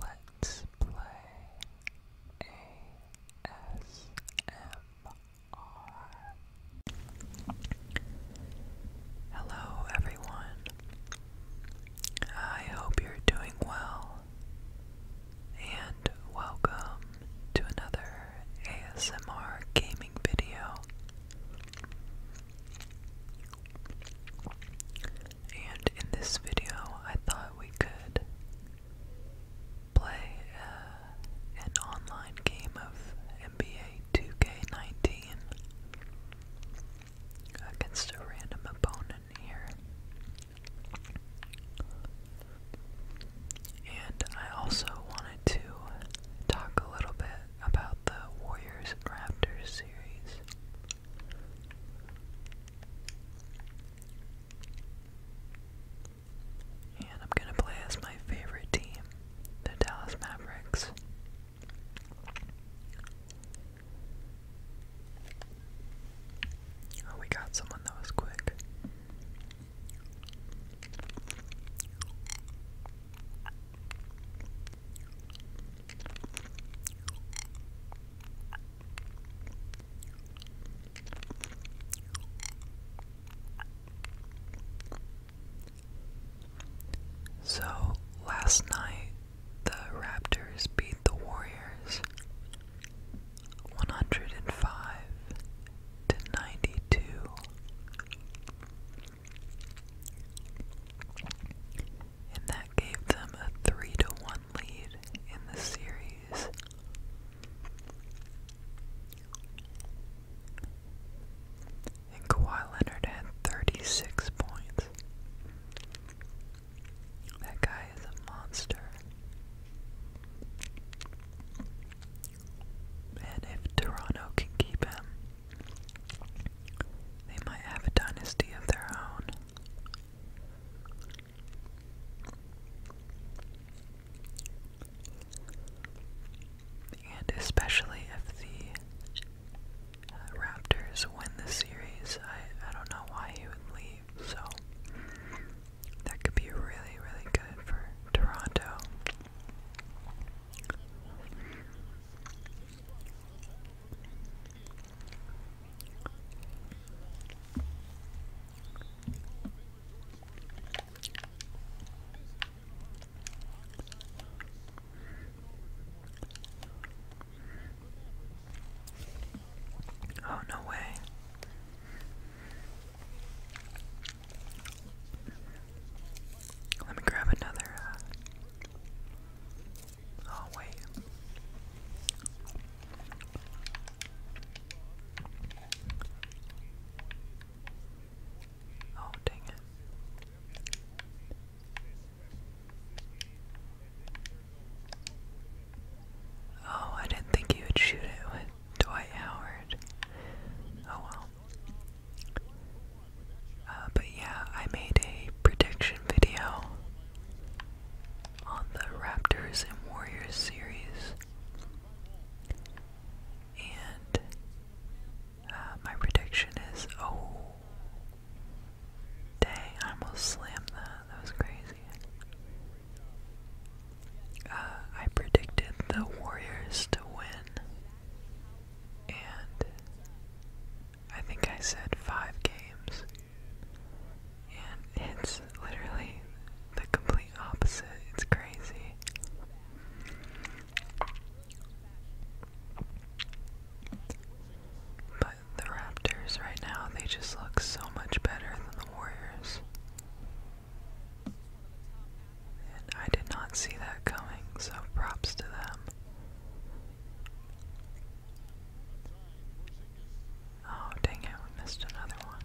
Let's play ASMR. Hello, everyone. I hope you're doing well, and welcome to another ASMR gaming video. And in this video, I thought we could play uh, an online game of NBA 2K19 against a random opponent here. And I also wanted to talk a little bit about the Warriors Raptors series. And I'm gonna play as my favorite team, the Dallas Mavericks. Oh, we got someone that was quick. So last night, the Raptors beat the Warriors 105 to 92 and that gave them a 3 to 1 lead in the series. And Kawhi Leonard had 36 points. That guy is a monster. And if Toronto can keep him, they might have a dynasty of their own. And especially if the uh, Raptors win the series, I, I don't know why he would leave, so that could be really, really good for Toronto. Oh, no way. Let me grab another. Uh, Oh, wait. Oh, dang it. Oh, I didn't think you would shoot it with Dwight Howard. Oh well. Uh, but yeah, I made a prediction video on the Raptors and Warriors series. And uh, my prediction is oh, dang, I almost slammed that. That was crazy. Uh, I predicted the Warriors to win, and I think I said five games. And it's literally the complete opposite. It's crazy. But the Raptors right now, they just look so much better than the Warriors. And I did not see that coming, so props to them. Oh, dang it, we missed another one.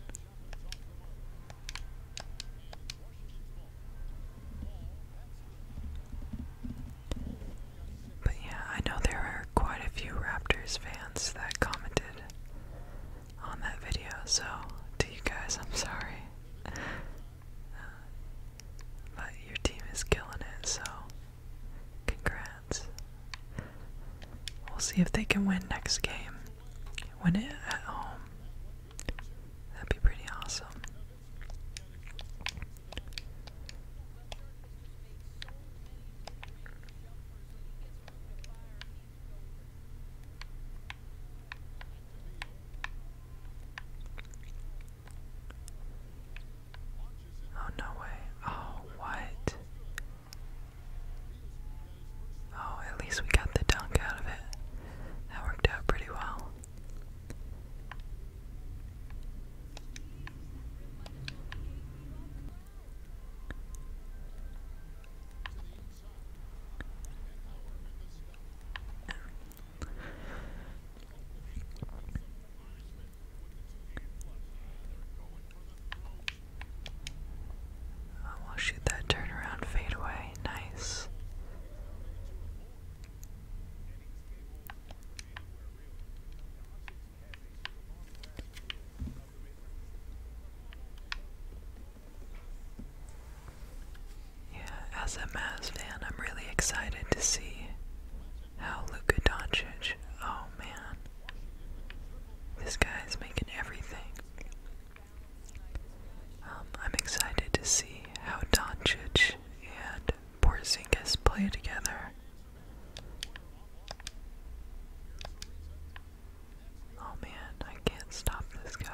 But yeah, I know there are quite a few Raptors fans that commented on that video, so to you guys, I'm sorry. Uh, but your team is killing it, so Congrats. We'll see if they can win next game. Win it at home. That'd be pretty awesome. Oh, no way. Oh, what? Oh, at least we got the dunk out of it. That worked out pretty well. Oh, will shoot that turnaround fadeaway. Nice. Yeah, as a Mavs fan, I'm really excited to see how Luka Doncic. Oh man. This guy is making everything. Um, I'm excited to see how Doncic and Porzingis play together. Oh man, I can't stop this guy.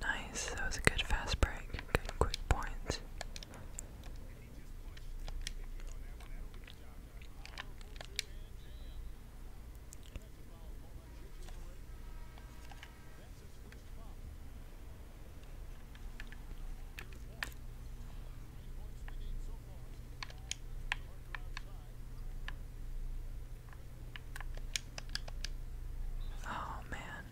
Nice, that was a good fast break. Good quick point. Oh man,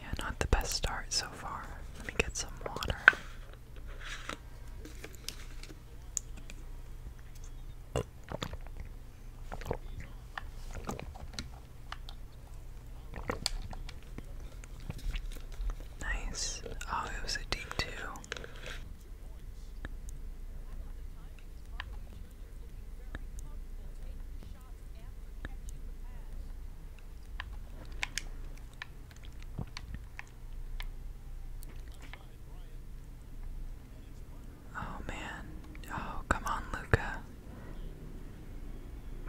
yeah, not the best start so far. Let me get some water. Nice. Oh, it was a deep two. Oh man. Oh, come on, Luca.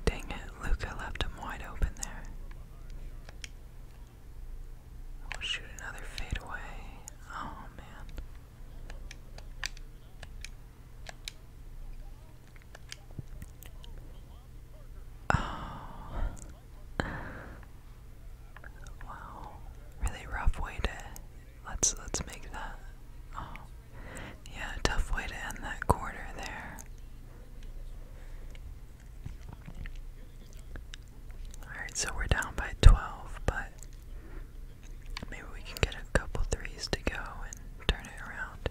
Dang it, Luca left him wide open there. We'll shoot another fadeaway. Oh man. Oh. Wow. Really rough way to let's let's make that. Oh. Yeah, tough way to end that quarter there. Alright, so we're down by 12, but Maybe we can get a couple threes to go and turn it around.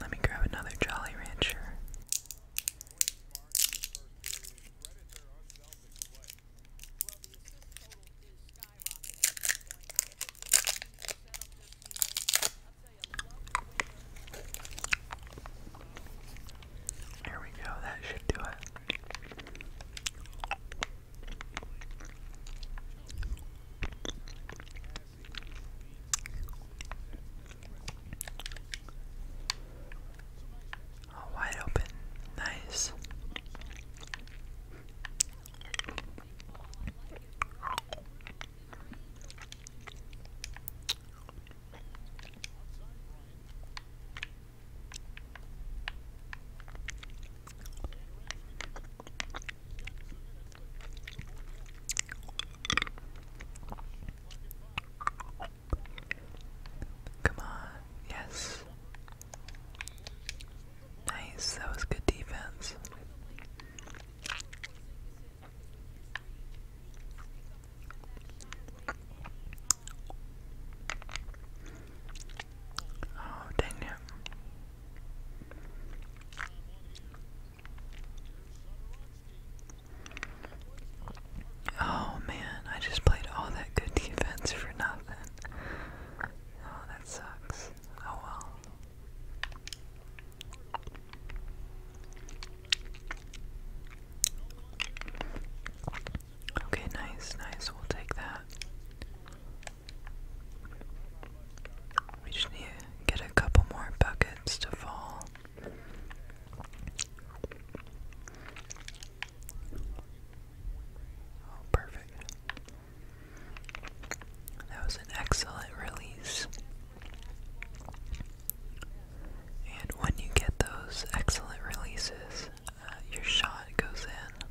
Let me grab another Jolly Rancher. There we go, that should do it. Oh, wide open. Nice. Come on, yes. Nice, that was good defense. Oh, dang it. Oh man, I just played all that good defense for nothing. Oh, that sucks. Oh well. Okay, nice, nice. We'll take that. We just need get a couple more buckets to fall. Oh, perfect. That was an excellent release. And when you get those excellent releases, uh, your shot goes in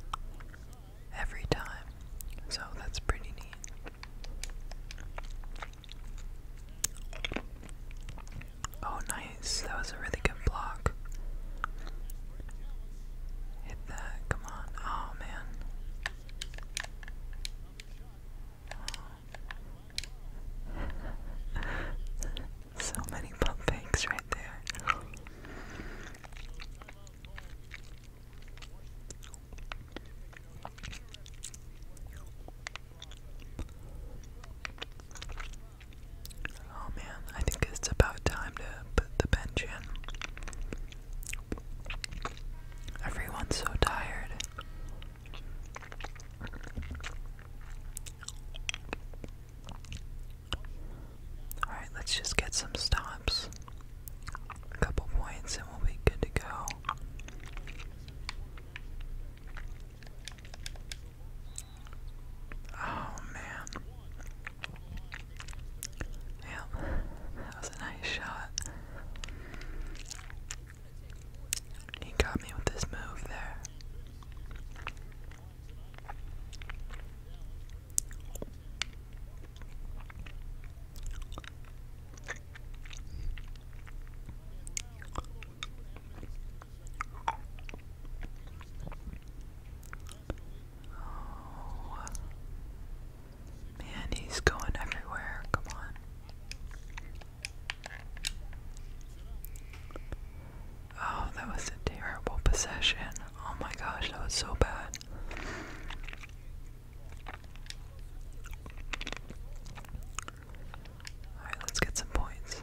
every time. So that's pretty neat. Oh, nice. That was a really good block. Hit that. Come on. Oh, man. so many pump fakes right there. Oh man, I think it's about time to put the bench in. Everyone's so tired. Alright, let's just get some stops. A couple points and we'll be good to go. Oh man. Yep, that was a nice shot. He got me with this move there. Oh. Man, he's going everywhere. Come on. Oh, that was a terrible possession. Oh my gosh, that was so bad. Alright, let's get some points.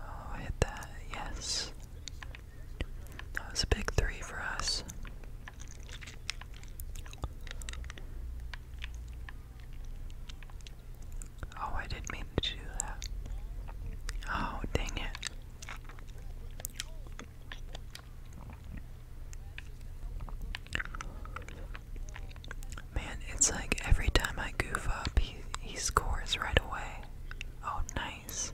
Oh, hit that, yes. That was a big three for us. Oh, I didn't mean to do that. Oh, dang it. Man, it's like every time I goof up, he, scores right away. Oh, nice.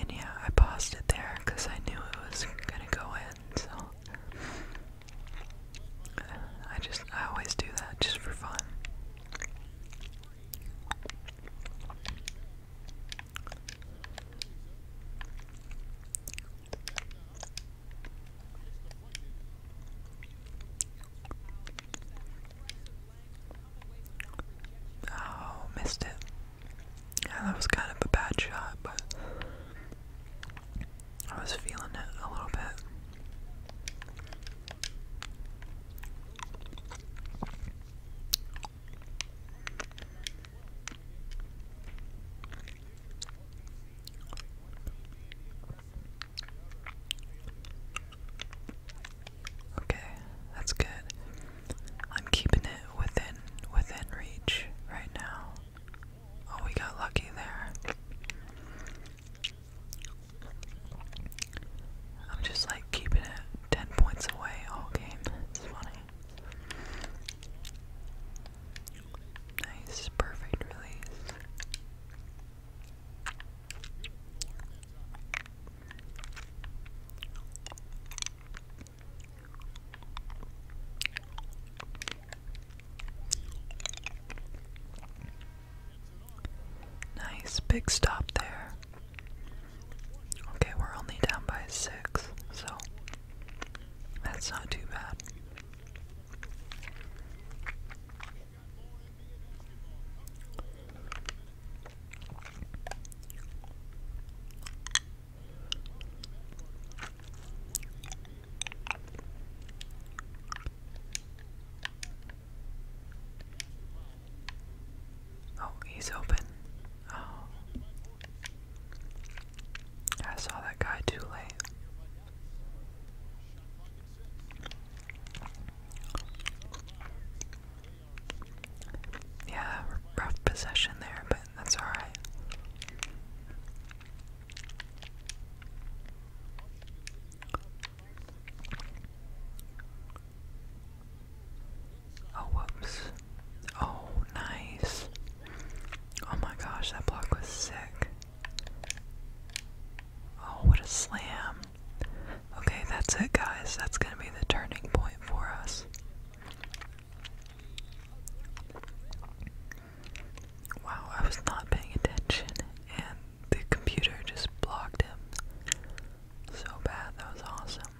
And yeah, I paused it there because I knew it was gonna go in, so. I just, I always do that just for fun. Oh, missed it. Yeah, that was kind of a bad shot, but I was feeling it a little bit. Okay, that's good. I'm keeping it within within reach right now. Oh, we got lucky there. I'm just like keeping it 10 points away all game. It's funny. Nice, perfect release. Nice big stop there. Okay, we're only down by six, so that's not too bad. Oh, he's open. Oh, I saw that guy too late. Yeah, rough possession there, but that's alright. Oh, whoops. Oh, nice. Oh my gosh, that block was sick. Oh, what a slam. Okay, that's it, guys. That's going to be the turning point for us. Wow, I was not paying attention, and the computer just blocked him so bad. That was awesome.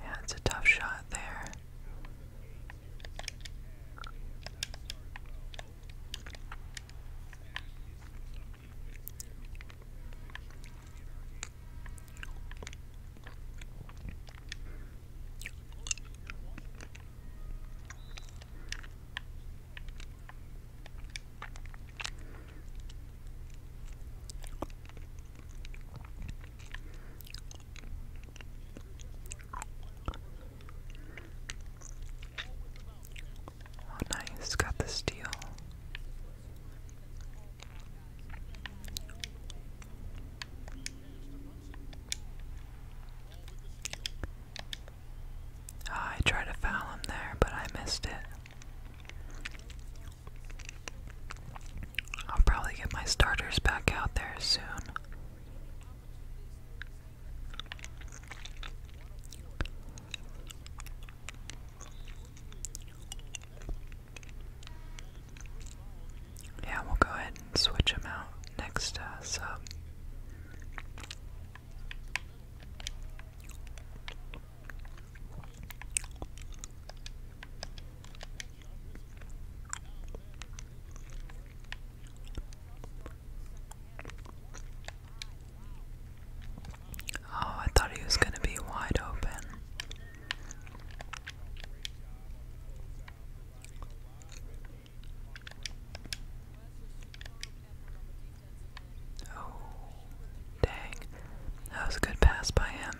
Yeah, it's a tough shot there. Oh, nice, got the steal. Ah, I tried to foul him there, but I missed it. I'll probably get my starters back out there soon. Yeah, we'll go ahead and switch him out next uh, Oh, I thought he was going to be wide open. Oh, dang. That was a good pass by him.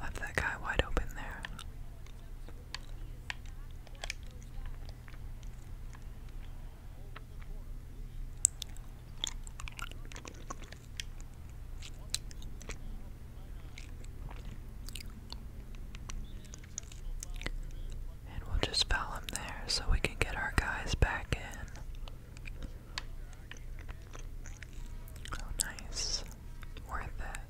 Left that guy wide open there. And we'll just foul him there so we can get our guys back in. Oh, nice. Worth it.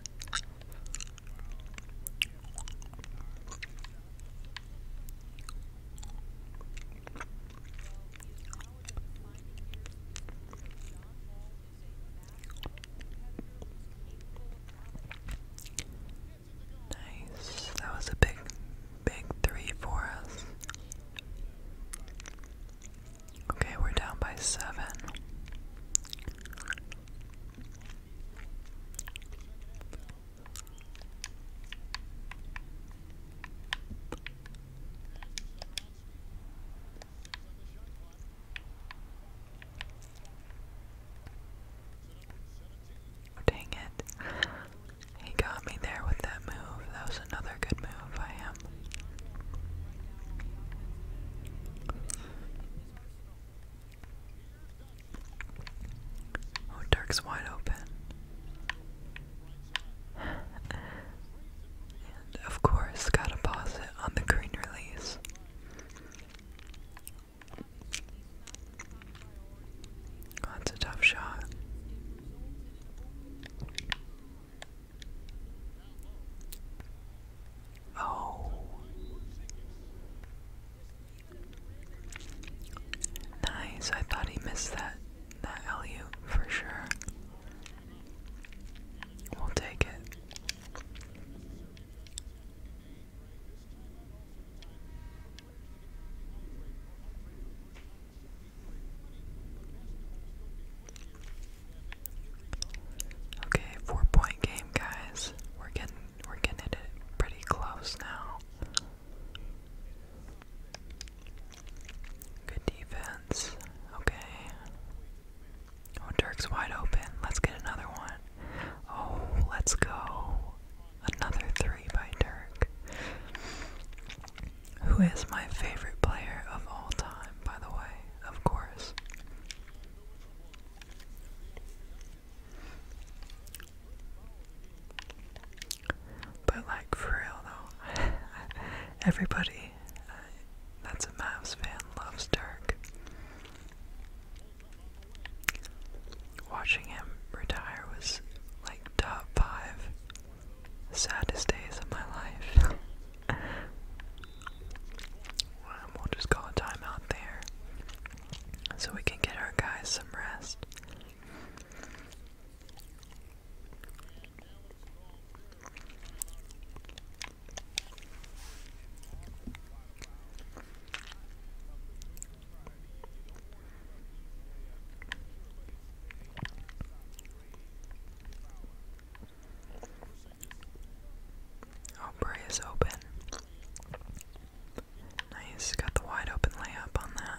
Nice. That was a big, big three for us. Okay, we're down by seven. Oh, dang it. He got me there with that move. That was another good move by him. Oh, Dirk's wide open. And of course, gotta posit on the green release. that's a tough shot. Oh. Nice. I thought he missed that that LU for sure. We'll take it. Okay, four point game guys. We're getting we're getting it pretty close now. Good defense. Okay. Oh, Dirk's wide open. Let's get another one. Oh, let's go. Another three by Dirk. Who is my favorite player of all time, by the way? Of course. But, like, for real though, everybody uh, that's a Mavs fan, loves Dirk. Watching him retire was like top five saddest days of my life. we'll just call a timeout there so we can get our guys some rest. Aubrey is open. Nice, got the wide open layup on that.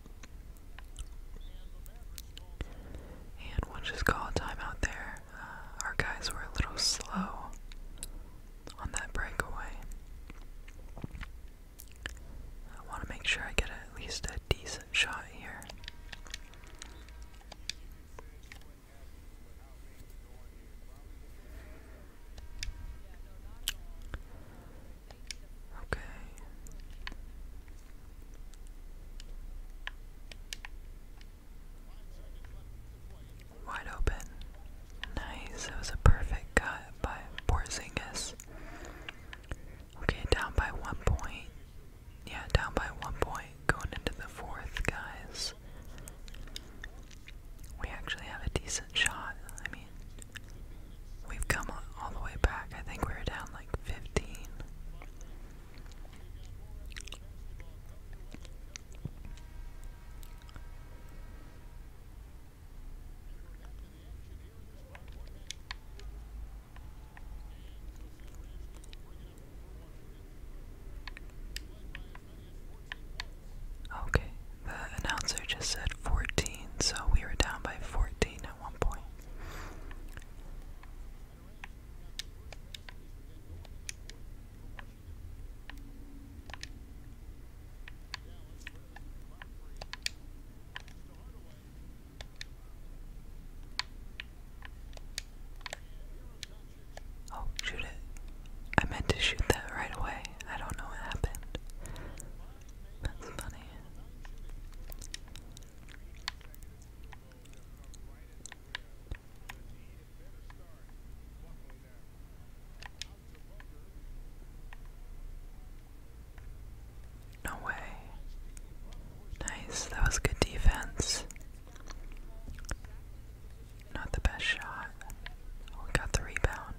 And we'll just call timeout there. Uh, our guys were a little slow on that breakaway. I want to make sure I get at least a decent shot here. Okay. Wide open. Nice. It was a perfect cut by Porzingis. Okay, down by one point. Yeah, down by one point. Going into the fourth, guys. We actually have a decent shot. I mean, We've come all the way back. I think we are down like 15. Okay, the announcer just said 14, so we were down by 14 Oh, shoot it. I meant to shoot that right away. I don't know what happened. That's funny. No way. Nice, that was good defense. Not the best shot. Oh, got the rebound.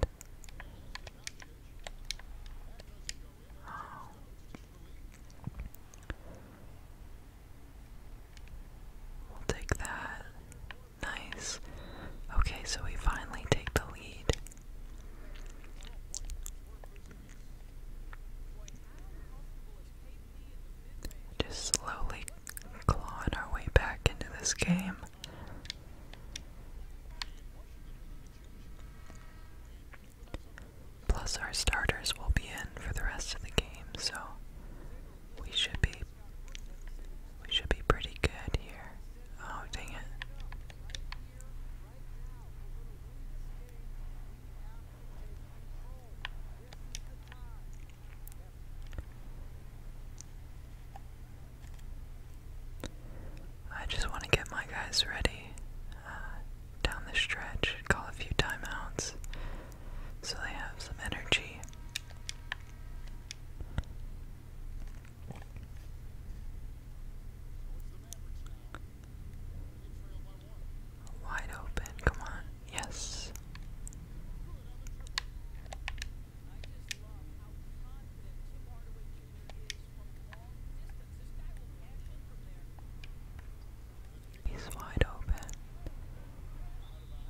We'll take that. Nice. Okay, so we finally take the lead. Just slowly clawing our way back into this game. Plus, our starters will be in for the rest of the game, so we should be we should be pretty good here. Oh, dang it. I just want to get my guys ready uh, down the stretch, call a few timeouts so they have some energy. Wide open, come on, yes. He's wide open.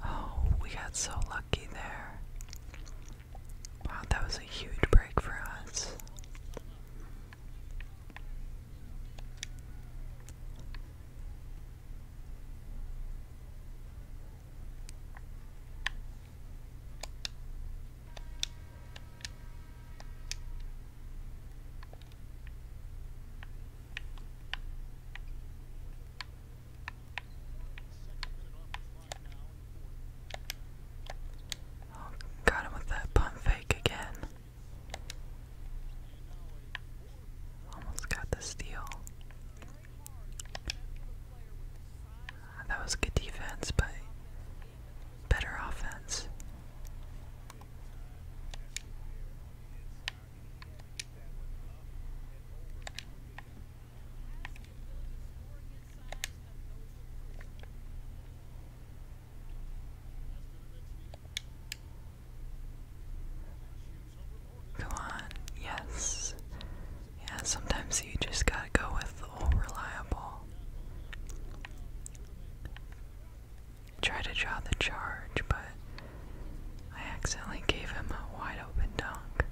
Oh, we got so lucky there. Wow, that was a huge break for us. Oh, got him with that pump fake again. Almost got the steal. That was good defense, but better offense. Go on, yes. Yeah, sometimes you just gotta go with the old reliable. Try to draw the charge, but I accidentally gave him a wide open dunk.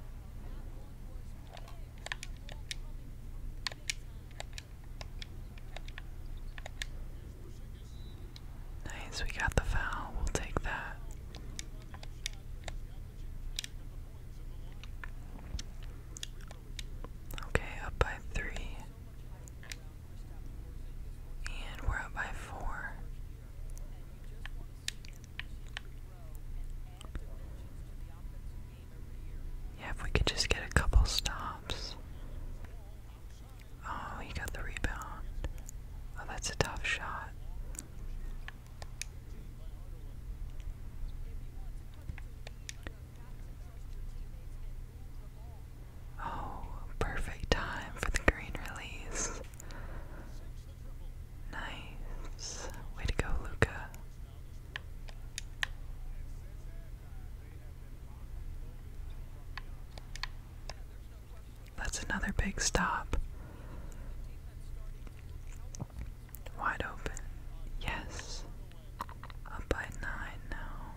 Nice, we got the foul. We'll take that. Okay, up by three. And we're up by four. Yeah, if we could just get a couple stops. Oh, he got the rebound. Oh, that's a tough shot. Oh, perfect time for the green release. Nice. Way to go, Luca. That's another big stop. Wide open. Yes. Up by nine now.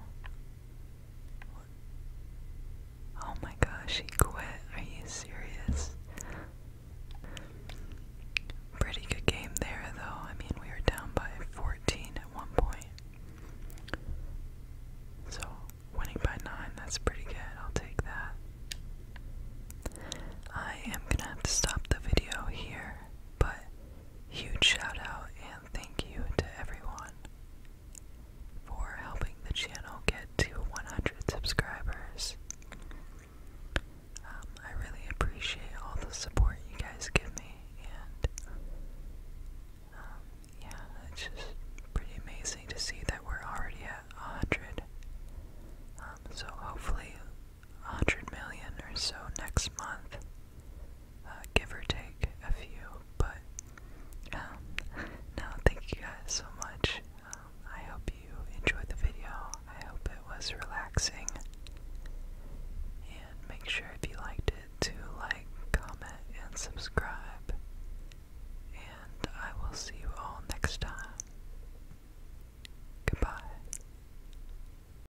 Oh my gosh, he quit. Are you serious? Pretty good game there, though. I mean, we were down by 14 at one point. So, winning by 9, that's pretty good. I'll take that. I am gonna have to stop the video here, but Huge shout out and thank you to everyone for helping the channel get to 100 subscribers. Um, I really appreciate all the support you guys give me, and um, yeah, it's just pretty amazing to see that we're already at 100. Um, so hopefully 100 million or so next month, uh, give or take a few. But um, thank you guys so much. Um, I hope you enjoyed the video. I hope it was relaxing. And make sure if you liked it to like, comment, and subscribe. And I will see you all next time. Goodbye.